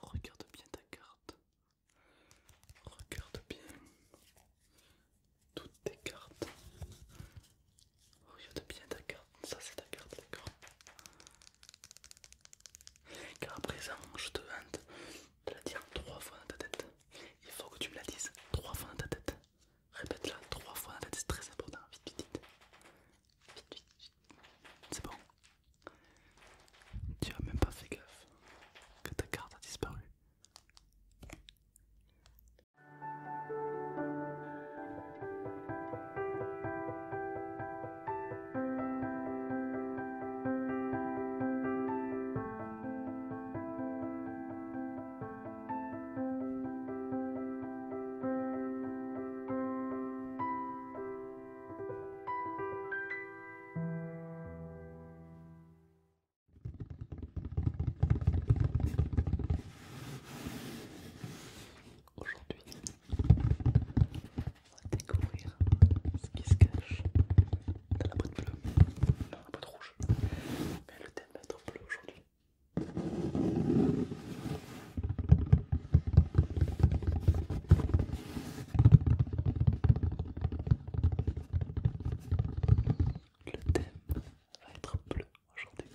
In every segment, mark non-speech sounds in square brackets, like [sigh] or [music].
Regarde bien ta carte. Regarde bien toutes tes cartes. Regarde bien ta carte. Ça c'est ta carte, d'accord Car à présent, je te demande de la dire trois fois dans ta tête. Il faut que tu me la dises trois fois dans ta tête. Répète-la trois fois dans ta tête, c'est très important. Vite, vite, vite. C'est bon. Tu as même pas fait gaffe que ta carte a disparu. Aujourd'hui, on va découvrir ce qui se cache dans la boîte bleue, dans la boîte rouge. Mais le thème va bleu aujourd'hui. Le thème va être bleu aujourd'hui.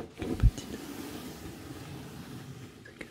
Le petit caché dans cette boîte bleue.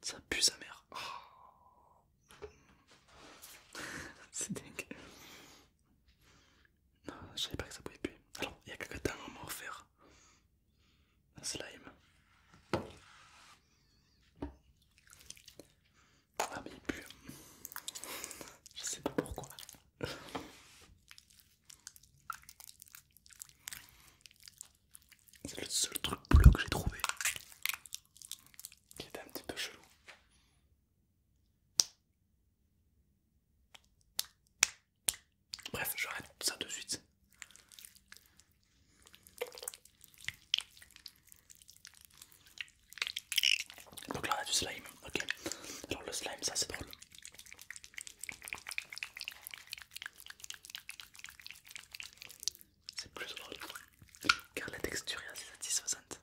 Ça pue sa mère. Oh. [laughs] C'est dingue. je savais pas que ça pouvait puer. Alors, il y a quelques temps, on m'a offert un slime. Ah, mais il pue. Je sais pas pourquoi. C'est le seul truc bleu que j'ai trouvé qui était un petit peu chelou. Bref, j'arrête ça de suite. Donc là on a du slime, ok. Alors le slime ça c'est drôle c'est plus drôle car la texture est assez satisfaisante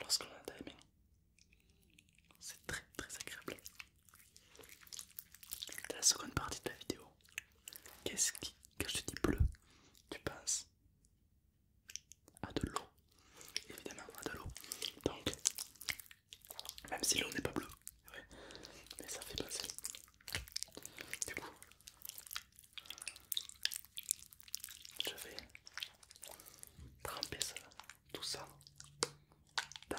lorsque l'on a C'est très très agréable. Dans la seconde partie de la vidéo, qu'est-ce qui, quand je te dis bleu, tu penses à de l'eau Évidemment, à de l'eau. Donc, même si l'eau n'est pas bleue, mais ça fait penser. Du coup, je vais tremper tout ça dans,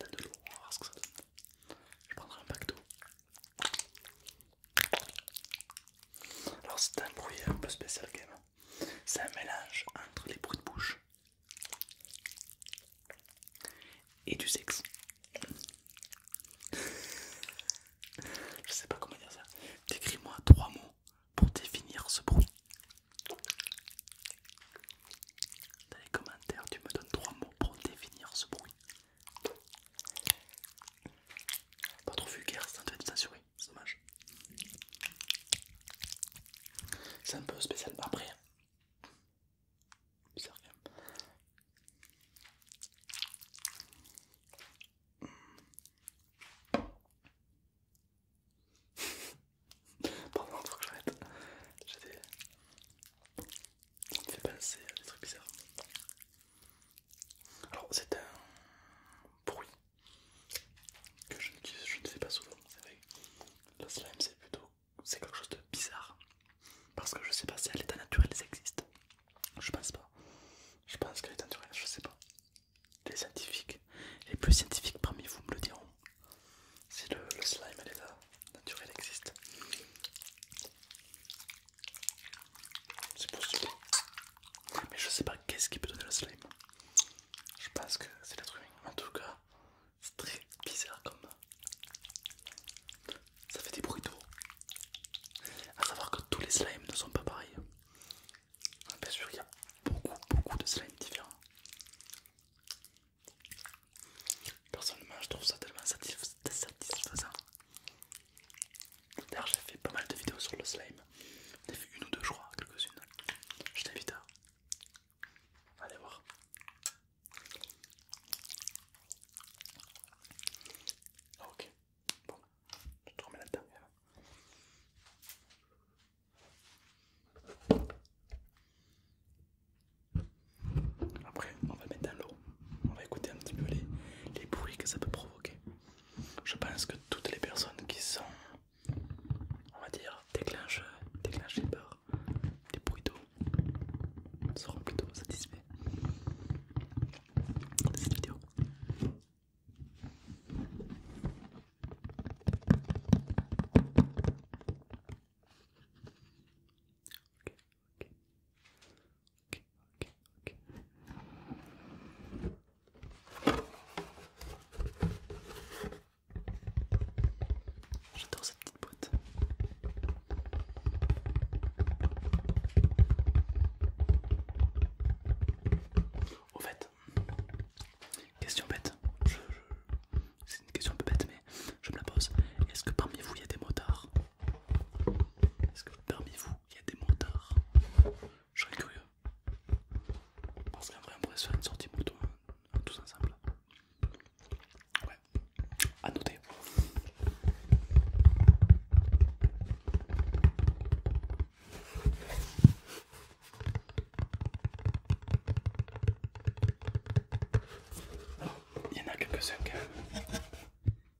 de l'eau. que ça Je prendrai un pack d'eau. Alors c'est un bruit un peu spécial Game. C'est un mélange entre les bruits de bouche et du sexe. Je sais pas comment dire ça. Décris-moi trois mots pour définir ce bruit. Dans les commentaires, tu me donnes trois mots pour définir ce bruit. Pas trop vulgaire, c'est un assuré, c'est dommage. C'est un peu spécial. Après, Bizarre quand même. Pardon, faut que j'arrête. J'ai des. Ça me des trucs bizarres. Alors, c'est un bruit que je, je ne fais pas souvent. Vrai. La slime, c'est plutôt c'est quelque chose de bizarre parce que je sais pas si à l'état naturel existe Je pense pas. Je pense qu'à l'état naturel, je sais pas. Les scientifiques, les plus scientifiques parmi vous me le diront. Si le, le slime à l'état naturel existe, c'est possible. Mais je sais pas qu'est-ce qui peut donner le slime. Je pense que c'est la humain. En tout cas, c'est très bizarre comme. Ça fait des bruits d'eau. à savoir que tous les slimes ne sont pas pareils. Bien sûr, il y a beaucoup, beaucoup de slimes différents. Personnellement, je trouve ça tellement satisfaisant. D'ailleurs, j'ai fait pas mal de vidéos sur le slime. J'ai fait une ou deux, je crois, quelques-unes. Je t'invite à Allez voir. Ah, ok, bon, je te remets là-dedans. Après, on va mettre dans l'eau, on va écouter un petit peu les, les bruits que ça peut provoquer. Je pense que toutes les personnes qui sont on va dire, déclenche, les par des bruits d'eau, seront plutôt satisfaits de cette vidéo. Ok. J'adore cette petite boîte. Au fait, question bête, c'est une question un peu bête, mais je me la pose. Est-ce que parmi vous il y a des motards Est-ce que parmi vous il y a des motards Je serais curieux. Parce qu'en vrai, on pourrait se faire une sortie mouton, tous ensemble. Ouais, à noter. Alors, il y en a quelques-uns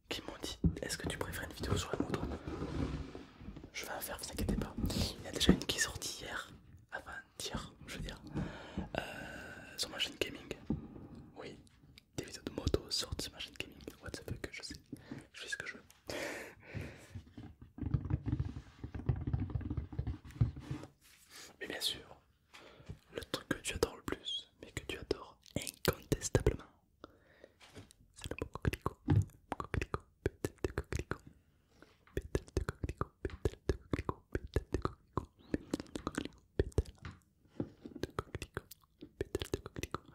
qui m'ont dit est-ce que tu préfères une vidéo sur la moto je vais en faire, vous inquiétez pas. Il y a déjà une qui est sortie hier, avant-hier, je veux dire, euh, sur ma gaming. Oui, des vidéos de moto sortent sur Machine chaîne gaming. What the fuck, je sais, je fais ce que je veux. Mais bien sûr, le truc que tu adores le plus, mais que tu adores incontestablement, c'est le mot Petel de coquelicot, pétale de coquelicot, pétale de coquelicot, Petel, de coquelicot, pétale de coquelicot, Petel, de coquelicot, Petel de coquelicot.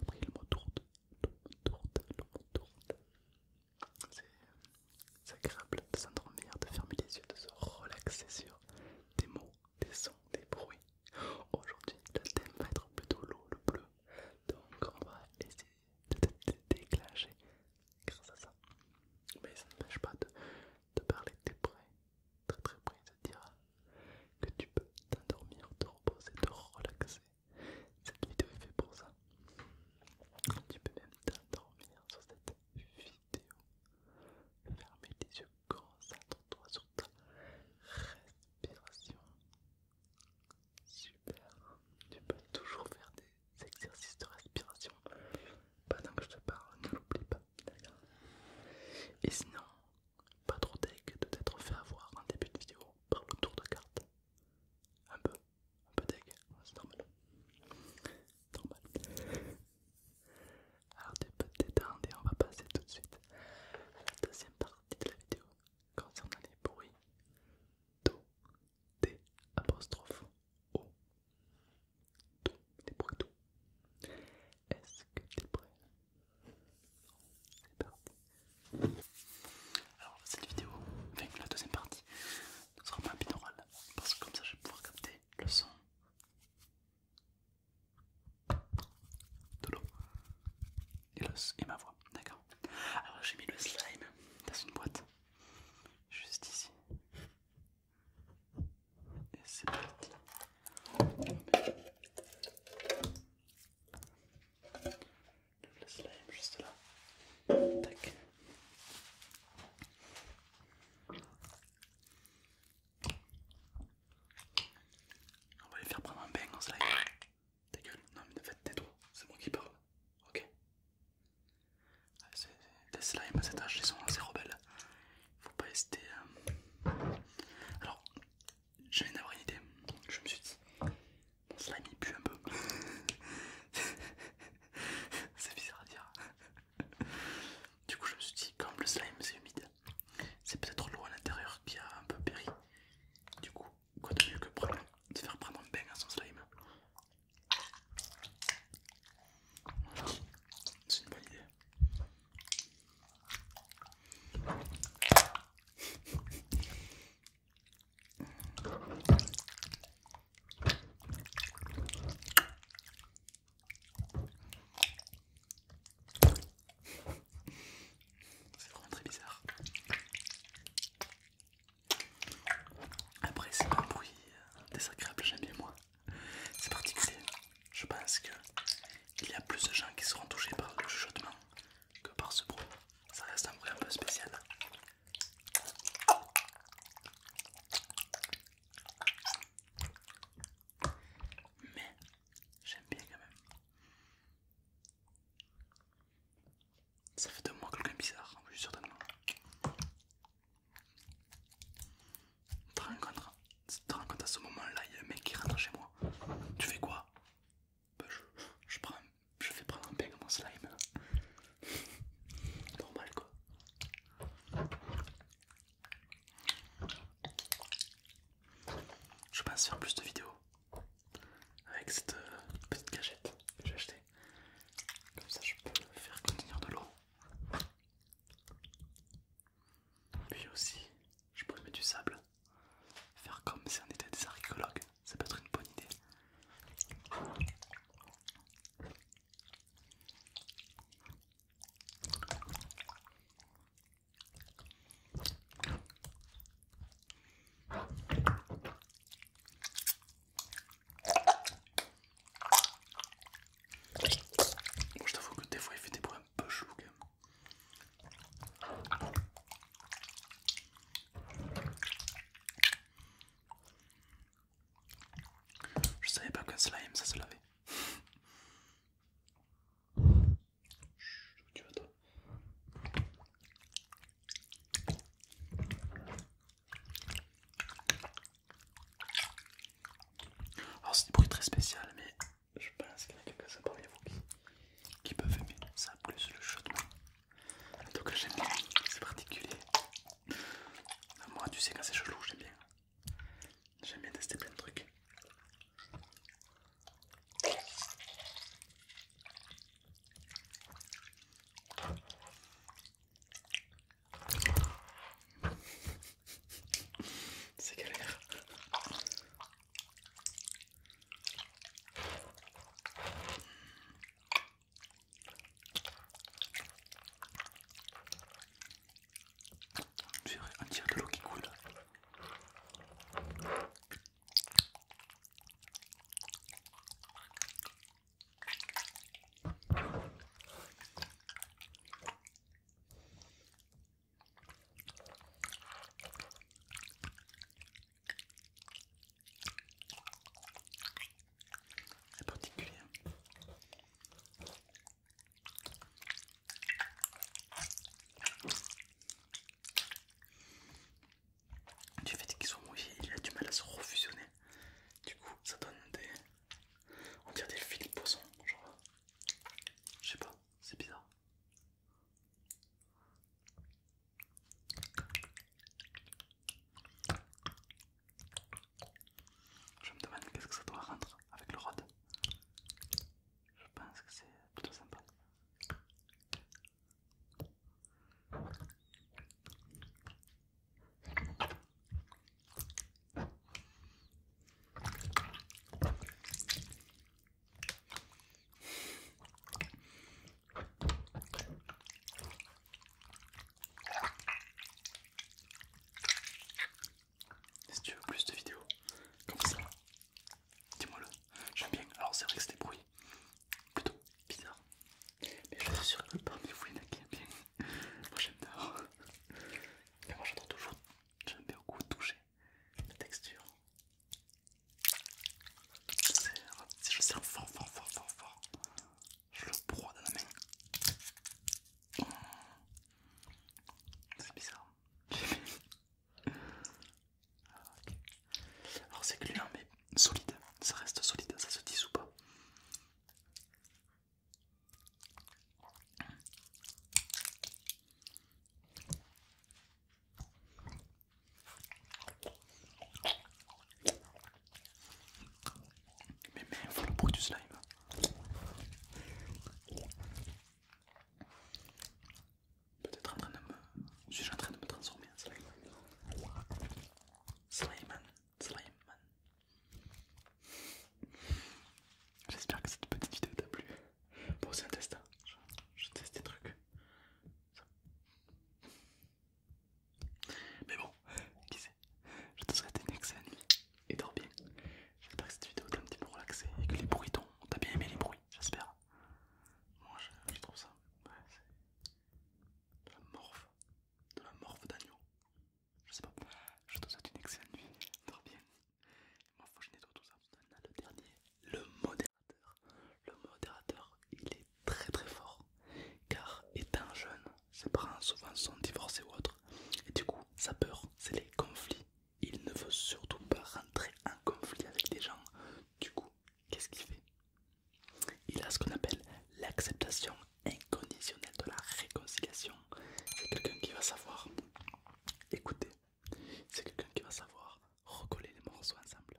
Après le mot tourte, tourte, le mot C'est agréable de s'endormir, de fermer les yeux, de se relaxer sur des mots, des sons, des bruits. Aujourd'hui, le thème va être plutôt l'eau, le bleu, donc on va essayer de te déclencher grâce à ça. Mais ça n'empêche pas de, te parler de es prêt, très très près, à dire que tu peux t'endormir, te reposer, te relaxer. Cette vidéo est faite pour ça. Tu peux même t'endormir sur cette vidéo. Fermez les yeux, concentre-toi sur ta respiration. Super, tu peux toujours faire des exercices de respiration pendant que je te parle, ne l'oublie pas, d'accord Et sinon, pas trop deg de t'être fait avoir en début de vidéo par le tour de cartes. Un peu, un peu deg, c'est normal. Normal. Alors tu peux t'étendre et on va passer tout de suite à la deuxième partie de la vidéo concernant les bruits Do, T apostrophe, O. Do, des bruits do. Est-ce que t'es prêt C'est parti. Alors, cette vidéo, avec la deuxième partie, ne sera pas un parce que comme ça je vais pouvoir capter le son de l'eau et, los et ma voix, d'accord. Alors j'ai mis le slime dans une boîte, juste ici. Et c'est parti. Le slime juste là. Tac. On va les faire prendre un bain en slime. Ta gueule, non mais ne faites tes trop, c'est moi qui parle, ok Les slimes à cet âge, ils sont assez rebelles. Faut pas hésiter. Hein. Alors, j'ai une idée. Je me suis dit, mon slime il pue un peu. [laughs] c'est bizarre à dire. Du coup, je me suis dit, comme le slime c'est humide, c'est peut-être l'eau à l'intérieur qui a un peu péri. Du coup, quoi de mieux que prendre, de faire prendre un pain à son slime. c'est une bonne idée. C'est vraiment très bizarre. Après, c'est un bruit euh, désagréable, j'aime bien moi. C'est particulier. Je pense que il y a plus de gens qui seront touchés par le chuchotement que par ce bruit. Ça reste un bruit un peu spécial. Mais J'aime bien quand même. Ça fait de moi quelqu'un bizarre, je suis certainement. Tu te rends compte, tu à ce moment-là, il y a un mec qui rentre chez moi. Tu fais quoi ben, je, je, fais prendre un ping à mon slime. Normal quoi. Je pense faire plus de vidéos avec cette euh, petite cachette que j'ai achetée. Comme ça, je peux faire contenir de l'eau. Puis aussi, je pourrais mettre du sable. Faire comme si on était des archéologues, ça peut être une bonne idée je t'avoue que des fois il fait des bruits un peu chou, quand Je savais pas qu'un slime ça se lavait. [laughs] Tu vas toi. Alors c'est des bruits très spéciaux, mais je pense qu'il y en a quelques-uns parmi vous qui, qui peuvent aimer ça plus le chat. Donc moi. j'aime bien, c'est particulier. Euh, moi tu sais quand c'est chelou j'aime bien. J'aime bien tester plein de trucs. [laughs] C'est galère. J'ai un tiers de l'eau qui coule. C'est particulier. Du fait qu'ils sont mouillés, il a du mal à se refusionner. Du coup, ça donne des. On dirait des fils de poisson, genre. Je sais pas, c'est bizarre. Je me demande qu'est-ce que ça doit rendre avec le rod. Je pense que c'est plutôt sympa. Et si tu veux plus de vidéos comme ça, dis-moi le. J'aime bien. Alors c'est vrai que c'est des bruits plutôt bizarres. Mais je suis sûr que parmi vous il bien. Moi j'aime bien Mais moi j'adore toujours. J'aime beaucoup toucher la texture. je serre fort, fort, fort, fort, fort, je le broie dans la main. Oh. C'est bizarre. [laughs] Alors, c'est gluant mais solide, ça reste solide, ça se dissout pas. Mais mains font le bruit du slime. Peut-être en train de me. Suis-je en train de me transformer en slime Slime, slime. J'espère que cette petite vidéo t'a plu. Bon, c'est un test. Hein. Je, teste des trucs. Mais bon, qui sait Je te souhaite une excellente nuit et dors bien. J'espère que cette vidéo t'a un petit peu relaxé et que les bruits t'ont. T'as bien aimé les bruits, j'espère. Moi je, trouve ça. de la morve. De la morve d'agneau. Je sais pas. Je te souhaite une excellente nuit. Dors bien. moi, faut que je nettoie tout ça. le dernier, le modérateur. Le modérateur, il est très très fort car étant jeune, ses parents souvent sont divorcés ou autre et du coup sa peur c'est les conflits. Il ne veut surtout pas rentrer en conflit avec des gens. Du coup, qu'est-ce qu'il fait Il a ce qu'on appelle l'acceptation inconditionnelle de la réconciliation. C'est quelqu'un qui va savoir écouter. C'est quelqu'un qui va savoir recoller les morceaux ensemble.